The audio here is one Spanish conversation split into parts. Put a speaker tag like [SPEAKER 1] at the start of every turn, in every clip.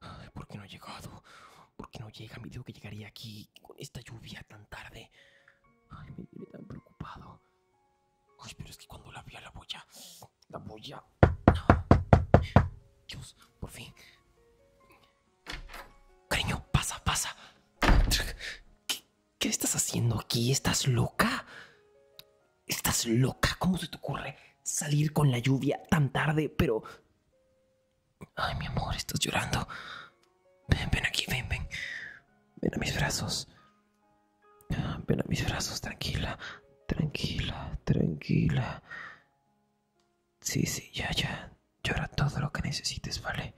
[SPEAKER 1] Ay, ¿por qué no ha llegado? ¿Por qué no llega? Me digo que llegaría aquí con esta lluvia tan tarde. Ay, me tiene tan preocupado. Ay, pero es que cuando la vi a la boya, la boya. Dios, por fin. Cariño, pasa, pasa. ¿Qué, ¿Qué, estás haciendo aquí? ¿Estás loca? ¿Estás loca? ¿Cómo se te ocurre salir con la lluvia tan tarde? Pero... Ay, mi amor, estás llorando. Ven, ven aquí, ven, ven. Ven a mis brazos. Ah, ven a mis brazos, tranquila, tranquila, tranquila. Sí, sí, ya, ya. Llora todo lo que necesites, ¿vale?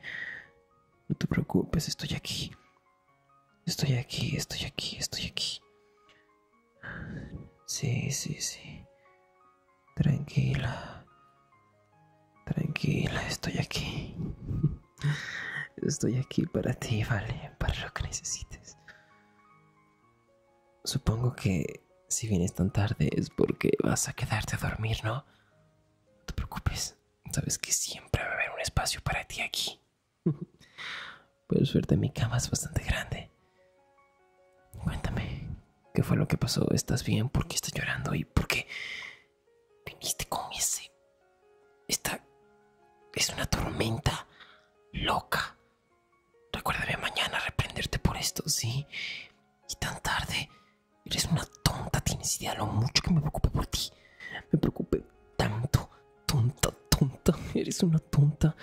[SPEAKER 1] No te preocupes, estoy aquí. Estoy aquí, estoy aquí, estoy aquí. Sí, sí, sí. Tranquila. Tranquila, estoy aquí. Estoy aquí para ti, vale, para lo que necesites. Supongo que si vienes tan tarde es porque vas a quedarte a dormir, ¿no? No te preocupes. Sabes que siempre va a haber un espacio para ti aquí. Por suerte mi cama es bastante grande. Cuéntame, ¿qué fue lo que pasó? ¿Estás bien? ¿Por qué estás llorando? ¿Y por qué viniste con ese... Esta... Es una tormenta loca. Recuérdame mañana reprenderte por esto, ¿sí? Y tan tarde. Eres una tonta, tienes idea lo mucho que me preocupe por ti. Me preocupe tanto Tonta, tonta, eres una tonta.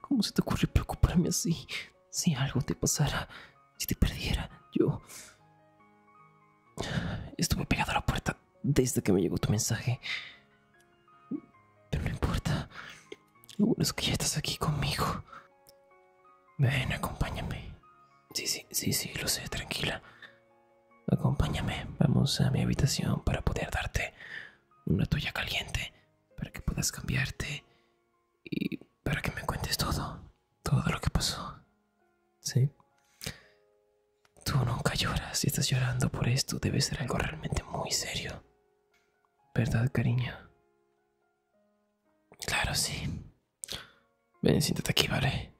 [SPEAKER 1] ¿Cómo se te ocurre preocuparme así? Si algo te pasara, si te perdiera, yo... Estuve pegado a la puerta desde que me llegó tu mensaje. Pero no importa. Lo bueno es que ya estás aquí conmigo. Ven, acompáñame. Sí, sí, sí, sí, lo sé, tranquila. Acompáñame, vamos a mi habitación para poder darte una tuya caliente para que puedas cambiarte y para que me cuentes todo, todo lo que pasó. ¿Sí? Tú nunca lloras, si estás llorando por esto debe ser algo realmente muy serio. ¿Verdad, cariño? Claro, sí. Ven, siéntate aquí, ¿vale?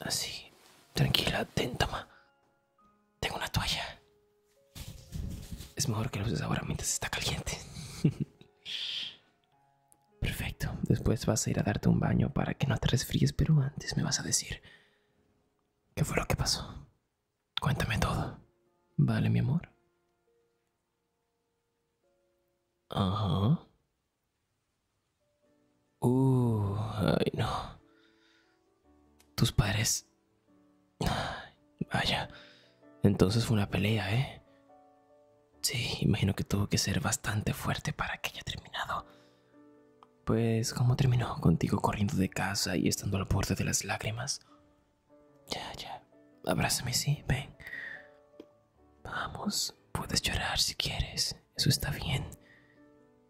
[SPEAKER 1] Así. Tranquila, atenta, tengo una toalla. Es mejor que lo uses ahora mientras está caliente. Perfecto. Después vas a ir a darte un baño para que no te resfríes, pero antes me vas a decir qué fue lo que pasó. Cuéntame todo. ¿Vale, mi amor? Ajá. Uh, ay, no. Tus padres... Vaya, entonces fue una pelea, ¿eh? Sí, imagino que tuvo que ser bastante fuerte para que haya terminado. Pues, ¿cómo terminó? Contigo corriendo de casa y estando al borde de las lágrimas. Ya, ya. Abrázame, sí, ven. Vamos, puedes llorar si quieres. Eso está bien.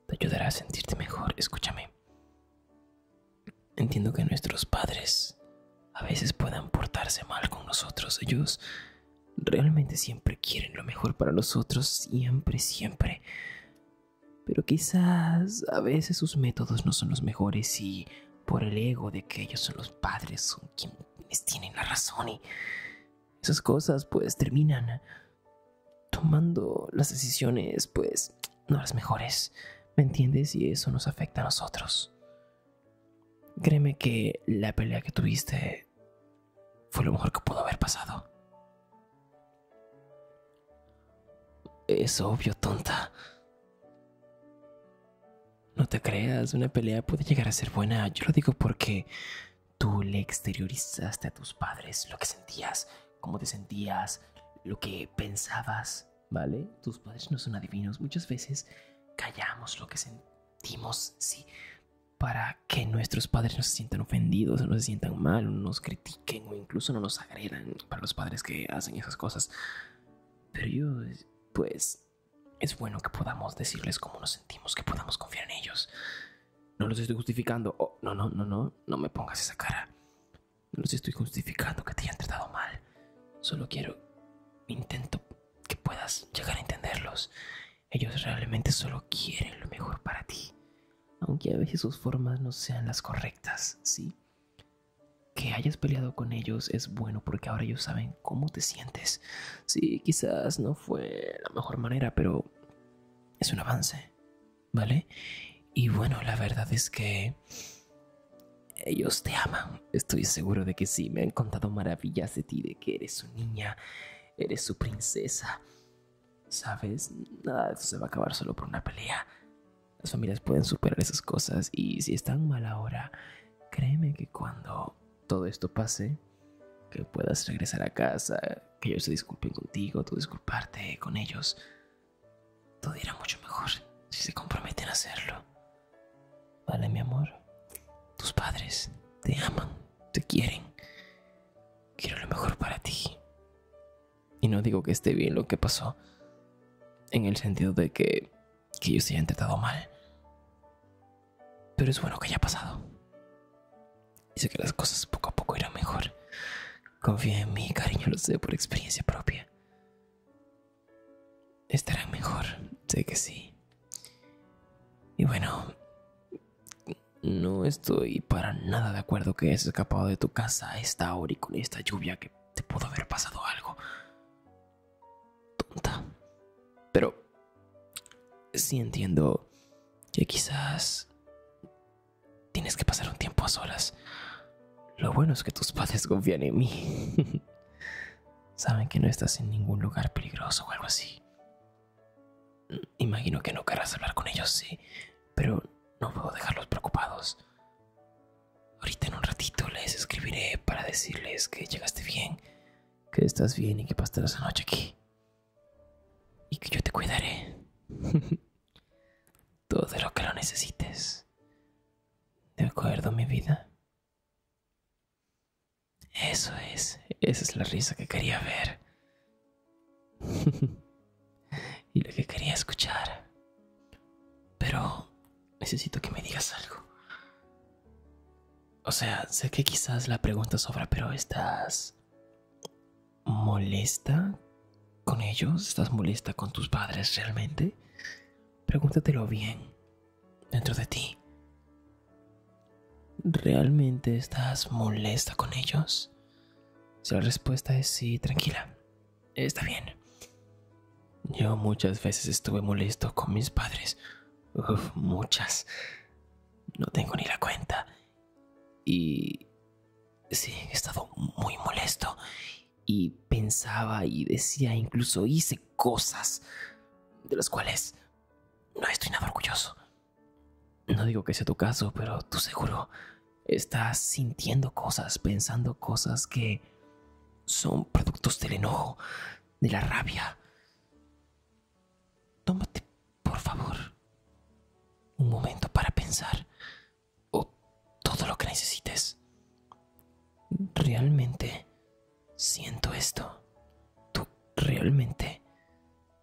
[SPEAKER 1] Te ayudará a sentirte mejor, escúchame. Entiendo que nuestros padres a veces puedan portarse mal con nosotros. Ellos realmente siempre quieren lo mejor para nosotros, siempre, siempre. Pero quizás a veces sus métodos no son los mejores y por el ego de que ellos son los padres, son quienes tienen la razón y esas cosas pues terminan tomando las decisiones, pues, no las mejores, ¿me entiendes? Y eso nos afecta a nosotros. Créeme que la pelea que tuviste fue lo mejor que pudo haber pasado. Es obvio, tonta. No te creas, una pelea puede llegar a ser buena. Yo lo digo porque tú le exteriorizaste a tus padres lo que sentías, cómo te sentías, lo que pensabas, ¿vale? Tus padres no son adivinos. Muchas veces callamos lo que sentimos, sí, para que nuestros padres no se sientan ofendidos, no se sientan mal, no nos critiquen o incluso no nos agredan para los padres que hacen esas cosas. Pero yo, pues, es bueno que podamos decirles cómo nos sentimos, que podamos confiar en ellos. No los estoy justificando. Oh, no, no, no, no, no me pongas esa cara. No los estoy justificando que te hayan tratado mal. Solo quiero... Intento que puedas llegar a entenderlos. Ellos realmente solo quieren lo mejor para ti. Aunque a veces sus formas no sean las correctas, ¿sí? Que hayas peleado con ellos es bueno porque ahora ellos saben cómo te sientes. Sí, quizás no fue la mejor manera, pero es un avance. ¿vale? Y bueno, la verdad es que ellos te aman. Estoy seguro de que sí, me han contado maravillas de ti, de que eres su niña, eres su princesa. ¿Sabes? Nada de eso se va a acabar solo por una pelea. Las familias pueden superar esas cosas y si están mal ahora, créeme que cuando todo esto pase, que puedas regresar a casa, que ellos se disculpen contigo, tú disculparte con ellos, todo irá mucho mejor si se comprometen a hacerlo. Vale, mi amor. Tus padres te aman, te quieren. Quiero lo mejor para ti. Y no digo que esté bien lo que pasó, en el sentido de que, yo ellos se hayan tratado mal. Pero es bueno que haya pasado. Y sé que las cosas poco a poco irán mejor. Confía en mí, cariño, lo sé por experiencia propia estarán mejor, sé que sí. Y bueno, no estoy para nada de acuerdo que hayas escapado de tu casa a esta hora y con esta lluvia que te pudo haber pasado algo. Tonta. Pero sí entiendo que quizás Tienes que pasar un tiempo a solas. Lo bueno es que tus padres confían en mí. Saben que no estás en ningún lugar peligroso o algo así. Imagino que no querrás hablar con ellos, sí, pero no puedo dejarlos preocupados. Ahorita en un ratito les escribiré para decirles que llegaste bien, que estás bien y que pasarás la noche aquí. Y que yo te cuidaré. todo lo que lo necesites. ¿De acuerdo, mi vida? Eso es, esa es la risa que quería ver. y lo que quería escuchar. Pero necesito que me digas algo. O sea, sé que quizás la pregunta sobra, pero ¿estás molesta con ellos? ¿Estás molesta con tus padres realmente? Pregúntatelo bien, dentro de ti. ¿Realmente estás molesta con ellos? Si la respuesta es sí, tranquila. Está bien. Yo muchas veces estuve molesto con mis padres. muchas. No tengo ni la cuenta. Y... Sí, he estado muy molesto y pensaba y decía, incluso hice cosas de las cuales no estoy nada orgulloso. No digo que sea tu caso, pero tú seguro estás sintiendo cosas, pensando cosas que son productos del enojo, de la rabia. Tómate, por favor, un momento para pensar o todo lo que necesites. Realmente siento esto. Tú realmente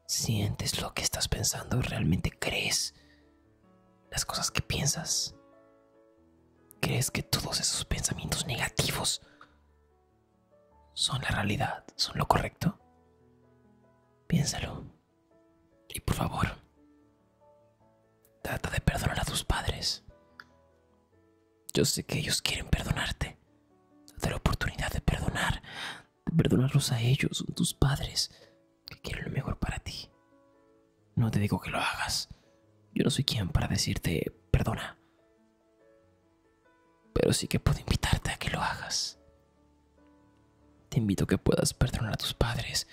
[SPEAKER 1] sientes lo que estás pensando. Realmente crees las cosas que piensas. Crees que todos esos pensamientos negativos son la realidad, son lo correcto. Piénsalo. Y por favor, Trata de perdonar a tus padres. Yo sé que ellos quieren perdonarte. De la oportunidad de perdonar, de perdonarlos a ellos, tus padres, que quieren lo mejor para ti. No te digo que lo hagas. Yo no soy quien para decirte perdona. Pero sí que puedo invitarte a que lo hagas. Te invito a que puedas perdonar a tus padres.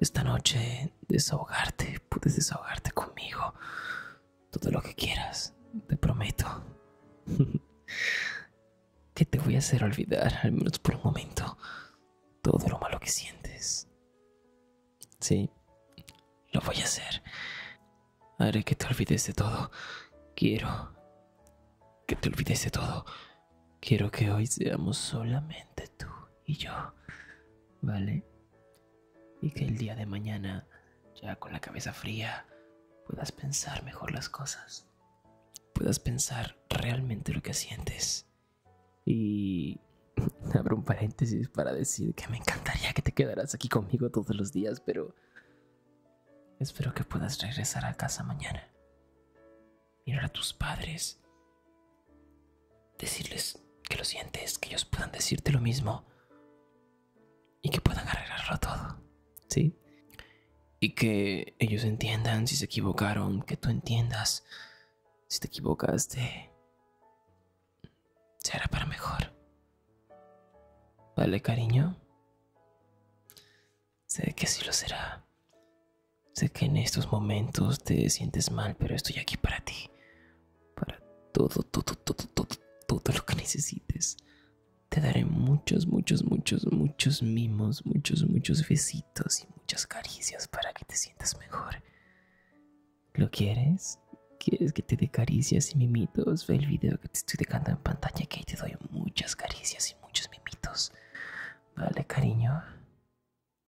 [SPEAKER 1] Esta noche desahogarte, puedes desahogarte conmigo. Todo lo que quieras, te prometo. que te voy a hacer olvidar, al menos por un momento, todo lo malo que sientes. Sí, lo voy a hacer. Haré que te olvides de todo. Quiero que te olvides de todo. Quiero que hoy seamos solamente tú y yo, ¿vale? Y que el día de mañana, ya con la cabeza fría, puedas pensar mejor las cosas, puedas pensar realmente lo que sientes. Y abro un paréntesis para decir que me encantaría que te quedaras aquí conmigo todos los días, pero espero que puedas regresar a casa mañana mirar a tus padres, decirles que lo sientes, que ellos puedan decirte lo mismo y que puedan arreglarlo todo, ¿sí? Y que ellos entiendan si se equivocaron, que tú entiendas si te equivocaste. Será para mejor. ¿Vale, cariño? Sé que así lo será. Sé que en estos momentos te sientes mal, pero estoy aquí para ti. Para todo, todo, todo, todo, todo lo que necesites. Te daré muchos, muchos, muchos, muchos mimos, muchos, muchos besitos y muchas caricias para que te sientas mejor. ¿Lo quieres? ¿Quieres que te dé caricias y mimitos? Ve el video que te estoy dejando en pantalla que ahí te doy muchas caricias y muchos mimitos. Vale, cariño.